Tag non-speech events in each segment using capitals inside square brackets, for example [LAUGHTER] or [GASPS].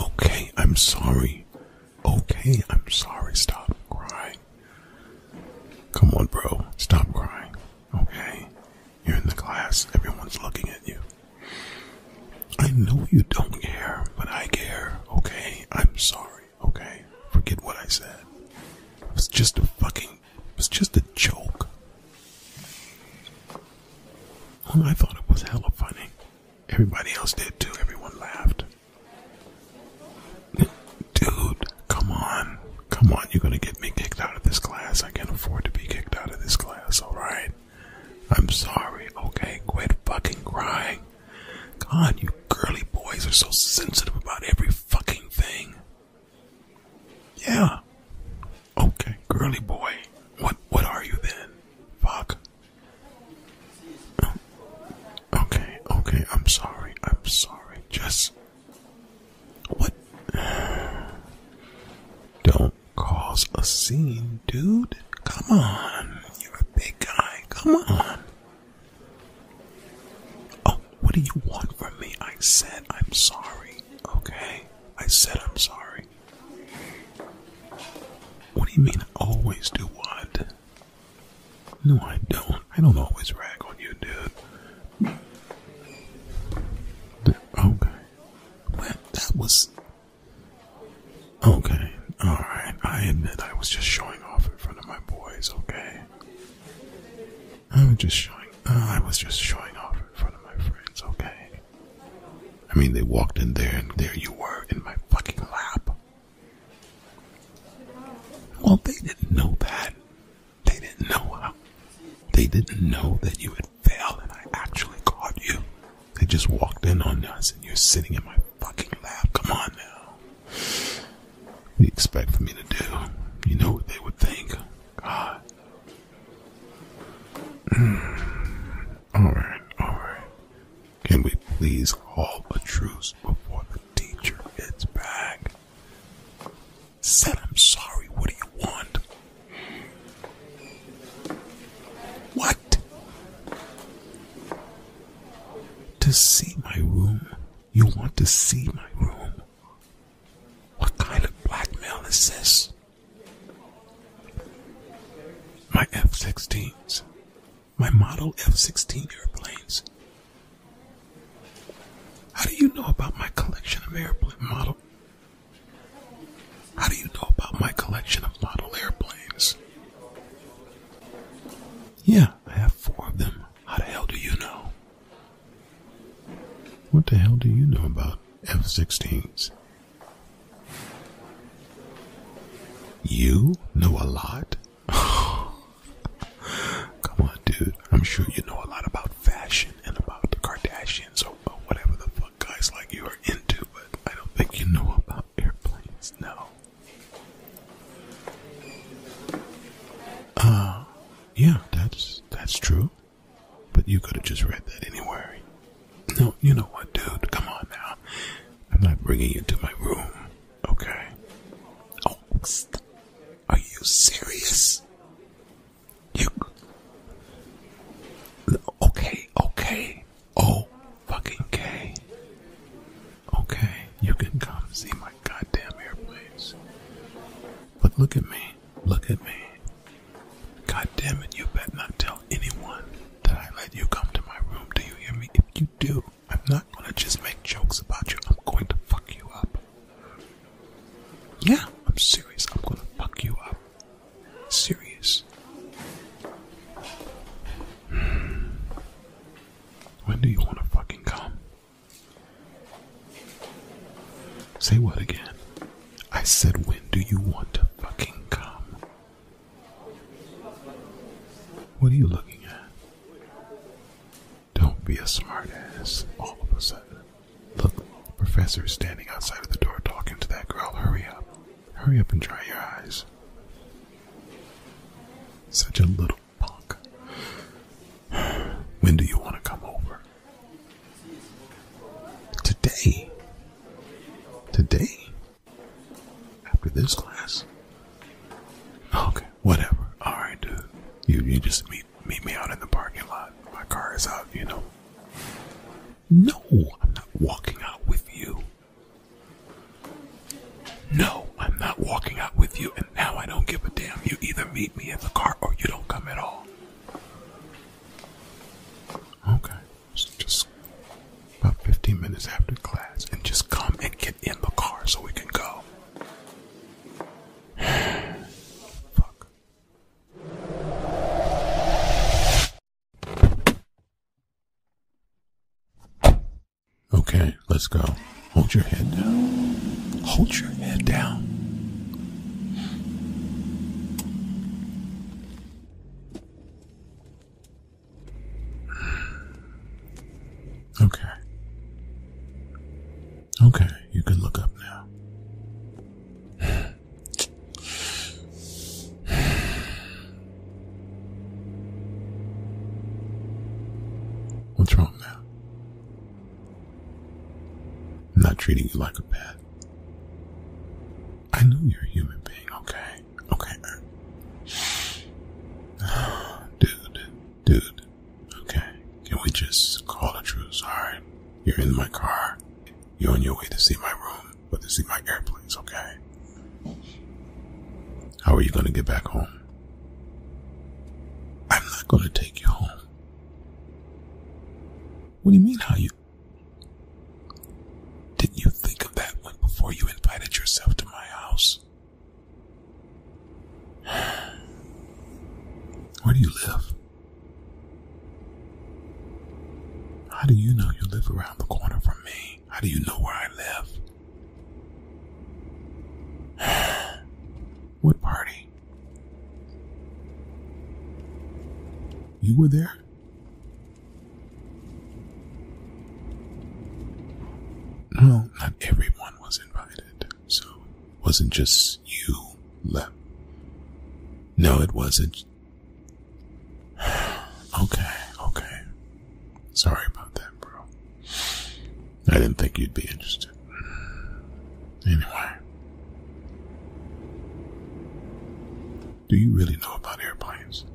Okay, I'm sorry. Okay, I'm sorry. Stop crying. Come on, bro. Stop crying. Okay? You're in the class, everyone's looking at you. I know you don't care, but I care, okay? I'm sorry, okay? Forget what I said. It was just a fucking, it was just a joke. I thought it was hella funny. Everybody else did too, everyone laughed. Dude, come on. Come on, you're gonna get me kicked out of this class. I can't afford to be kicked out of this class. That's alright? I'm sorry, okay? Quit fucking crying. God, you girly boys are so sensitive about every fucking thing. Yeah. Okay, girly boy. What what are you then? Fuck. Oh. Okay, okay, I'm sorry. I'm sorry. Just what? Don't cause a scene, dude. Come on. You're a big guy. Come on. Oh, what do you want from me? I said I'm sorry. Okay? I said I'm sorry. What do you mean always do what? No, I don't. I don't always rag on you, dude. Okay. Well, that was. Okay, alright. I admit I was just showing off in front of my boys, okay? I was just showing. Uh, I was just showing off in front of my friends, okay? I mean, they walked in there and there you were in my fucking lap. Well, they didn't know that. They didn't know They didn't know that you had fell and I actually caught you. They just walked in on us and you're sitting in my fucking lab. Come on now. What do you expect me to do? You know what they would think. God. Hmm. alright, alright. Can we please call a truce before the teacher gets back? said, I'm sorry, what do you want? What? To see my room? You want to see my room? What kind of blackmail is this? My F 16s, my model F 16 airplanes. How do you know about my collection of airplane models? How do you know about my collection of model airplanes? Yeah, I have four of them. How the hell do you know? What the hell do you know about F 16s? You know a lot? [LAUGHS] Come on, dude. I'm sure you know a lot about fashion and about the Kardashians also whatever the fuck guys like you are into, but I don't think you know about airplanes, no. Uh yeah, that's that's true. But you could have just read that anywhere. No, you know what, dude? Come on now. I'm not bringing you to my room, okay? Oh, are you serious? You. Okay, okay. Oh, fucking K. Okay, you can come see my goddamn airplanes. But look at me. Look at me. God it, you better not tell anyone that I let you come to my room. Do you hear me? If you do, I'm not gonna just make jokes about you. I'm going to fuck you up. Yeah, I'm serious. I'm gonna fuck you up serious. When do you want to fucking come? Say what again? I said, when do you want to fucking come? What are you looking at? Don't be a smartass all of a sudden the professor is standing outside of the door talking to that girl. Hurry up. Hurry up and dry your eyes. Such a little punk. [SIGHS] When do you want to come over? Today. Today? After this class? Okay, whatever. Alright, dude. You, you just meet meet me out in the parking lot. My car is out, you know. No, I'm not walking out with you. No, I'm not walking out with you, and now I don't give a damn. You either meet me in the car or you don't come at all. Okay, just about 15 minutes after class, and just come and get in the car so we can go. [SIGHS] Fuck. Okay, let's go. Hold your head down. Hold your head down. Okay. Okay, you can look up now. [SIGHS] What's wrong now? I'm not treating you like a pet. I know you're a human being, okay? Okay. [SIGHS] Dude, dude. Okay. Can we just call the truth? Alright. You're in my car. You're on your way to see my room, but to see my airplanes, okay? How are you going to get back home? I'm not going to take you home. What do you mean, how you? Didn't you think of that one before you invited yourself to my house? [SIGHS] Where do you live? How do you know you live around the corner from me? How do you know where I live? [SIGHS] what party? You were there? No, not everyone was invited, so wasn't just you left. No, it wasn't. [SIGHS] okay, okay. Sorry about that, bro. I didn't think you'd be interested. Anyway. Do you really know about airplanes?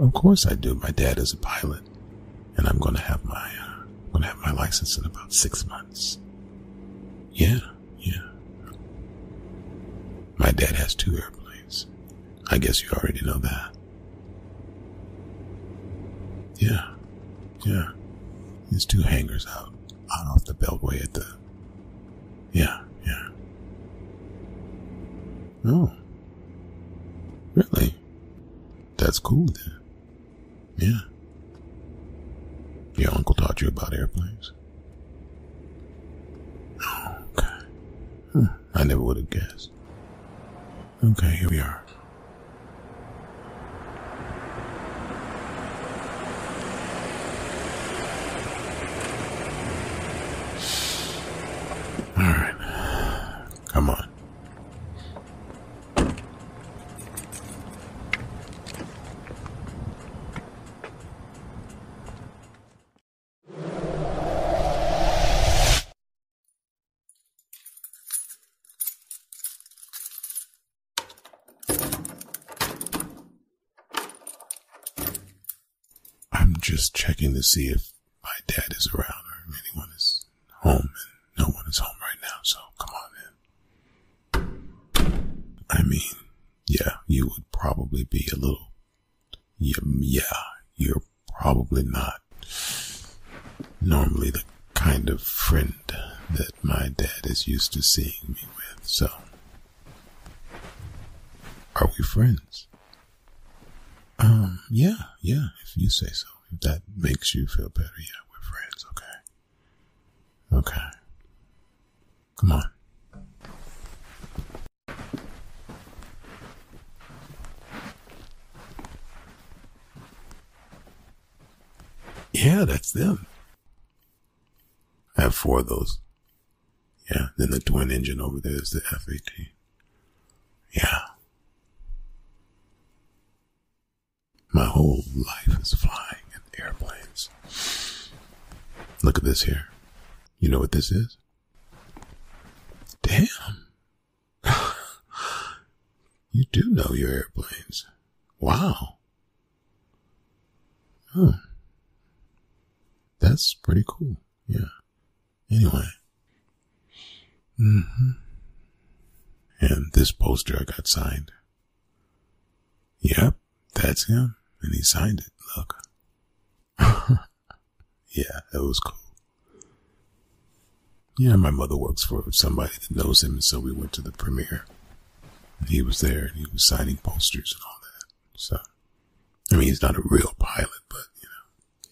Of course I do. My dad is a pilot, and I'm going to have my uh, going to have my license in about six months. Yeah, yeah. My dad has two airplanes. I guess you already know that. Yeah, yeah. There's two hangars out, out off the beltway at the. Yeah, yeah. Oh. Really? That's cool then. Yeah. Your uncle taught you about airplanes? okay. Hmm. I never would have guessed. Okay, here we are. All right. Come on. I'm just checking to see if my dad is around or anyone is home. and No one is home right now, so come on in. I mean, yeah, you would probably be a little. yeah you're probably not normally the kind of friend that my dad is used to seeing me with, so. Are we friends? Um, yeah, yeah, if you say so. If that makes you feel better, yeah, we're friends, okay? Okay. Come on. Yeah, that's them. I have four of those. Yeah, then the twin engine over there is the F-18. Yeah. My whole life is flying in airplanes. Look at this here. You know what this is? Damn. [LAUGHS] you do know your airplanes. Wow. Oh. That's pretty cool. Yeah. Anyway. Mm-hmm. And this poster I got signed Yep, that's him. And he signed it. Look. [LAUGHS] yeah, that was cool. Yeah, my mother works for somebody that knows him, so we went to the premiere. he was there, and he was signing posters and all that. So, I mean, he's not a real pilot, but you know,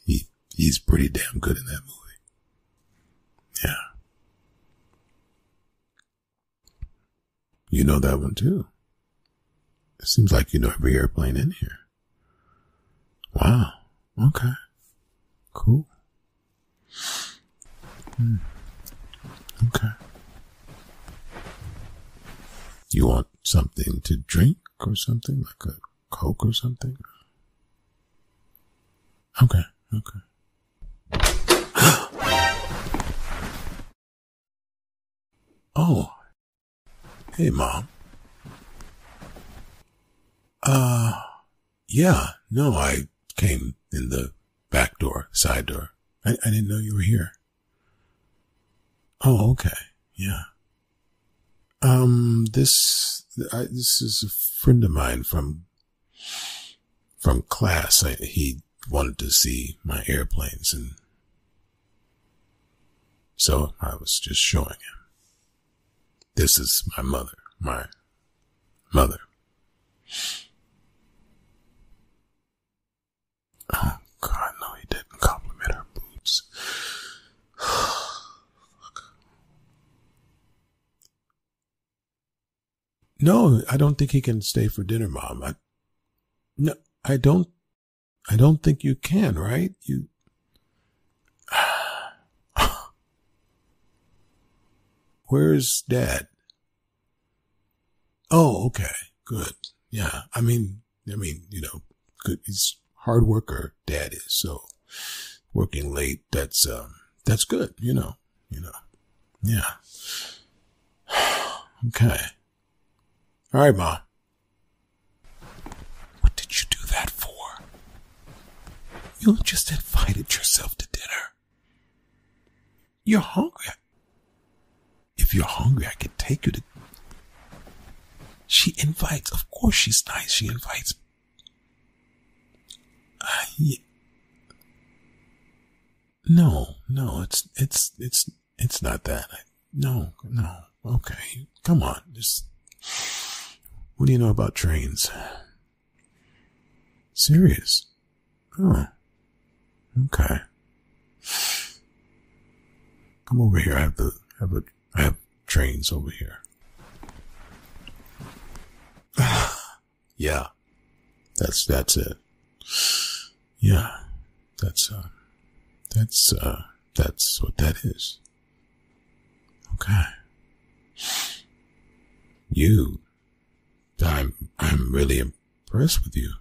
he he's pretty damn good in that movie. Yeah. You know that one too. It seems like you know every airplane in here. Wow. Okay. Cool. Hmm. Okay. You want something to drink or something? Like a Coke or something? Okay. Okay. [GASPS] oh. Hey, Mom. Uh, yeah, no, I came in the back door, side door. I, didn't know you were here. Oh, okay. Yeah. Um, this, this is a friend of mine from from class, he wanted to see my airplanes and so I was just showing him. This is my mother, my mother. Oh God, no, he didn't compliment her boobs. [SIGHS] No, I don't think he can stay for dinner, mom. I, no, I don't, I don't think you can, right? You, [SIGHS] where's dad? Oh, okay. Good. Yeah. I mean, I mean, you know, good. He's hard worker. Dad is so working late. That's, um, that's good. You know, you know. Yeah. [SIGHS] okay. All right, mom. What did you do that for? You just invited yourself to dinner. You're hungry. If you're hungry, I can take you to. She invites, of course she's nice. She invites no, no, it's it's it's it's not that. no, no. Okay, come on. Just what do you know about trains? Serious? Oh, okay. Come over here. I have the I have a, I have trains over here. [SIGHS] Ah, yeah. That's that's it. Yeah. That's uh that's uh that's what that is. Okay. You I'm I'm really impressed with you.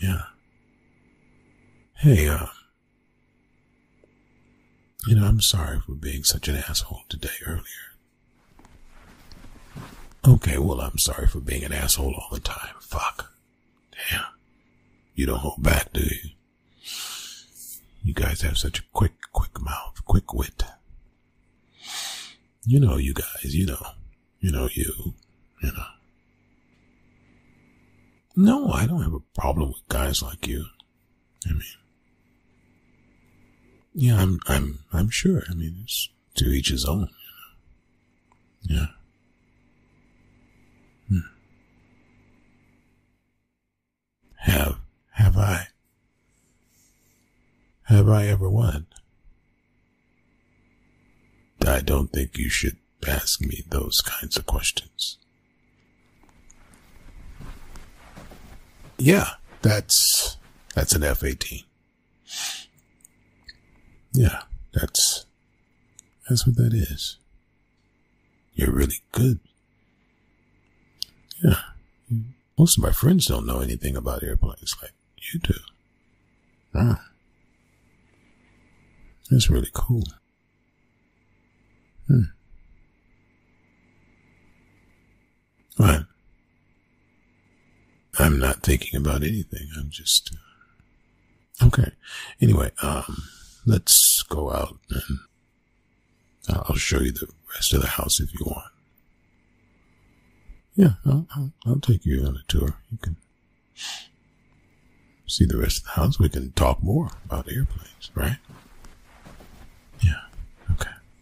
Yeah. Hey, uh you know, I'm sorry for being such an asshole today earlier. Okay, well, I'm sorry for being an asshole all the time. Fuck. Damn. You don't hold back, dude. You guys have such a quick, quick mouth, quick wit. You know, you guys, you know, you know, you, you know. No, I don't have a problem with guys like you. I mean, yeah, I'm, I'm, I'm sure. I mean, it's to each his own. You know? Yeah. Hmm. Have, have I? Have I ever won? I don't think you should ask me those kinds of questions. Yeah, that's that's an F eighteen. Yeah, that's that's what that is. You're really good. Yeah. Most of my friends don't know anything about airplanes like you do. Ah. That's really cool. Hmm. Right. I'm not thinking about anything. I'm just uh, okay. Anyway, um, let's go out and I'll show you the rest of the house if you want. Yeah, I'll, I'll, I'll take you on a tour. You can see the rest of the house. We can talk more about airplanes, right? Yeah. Okay.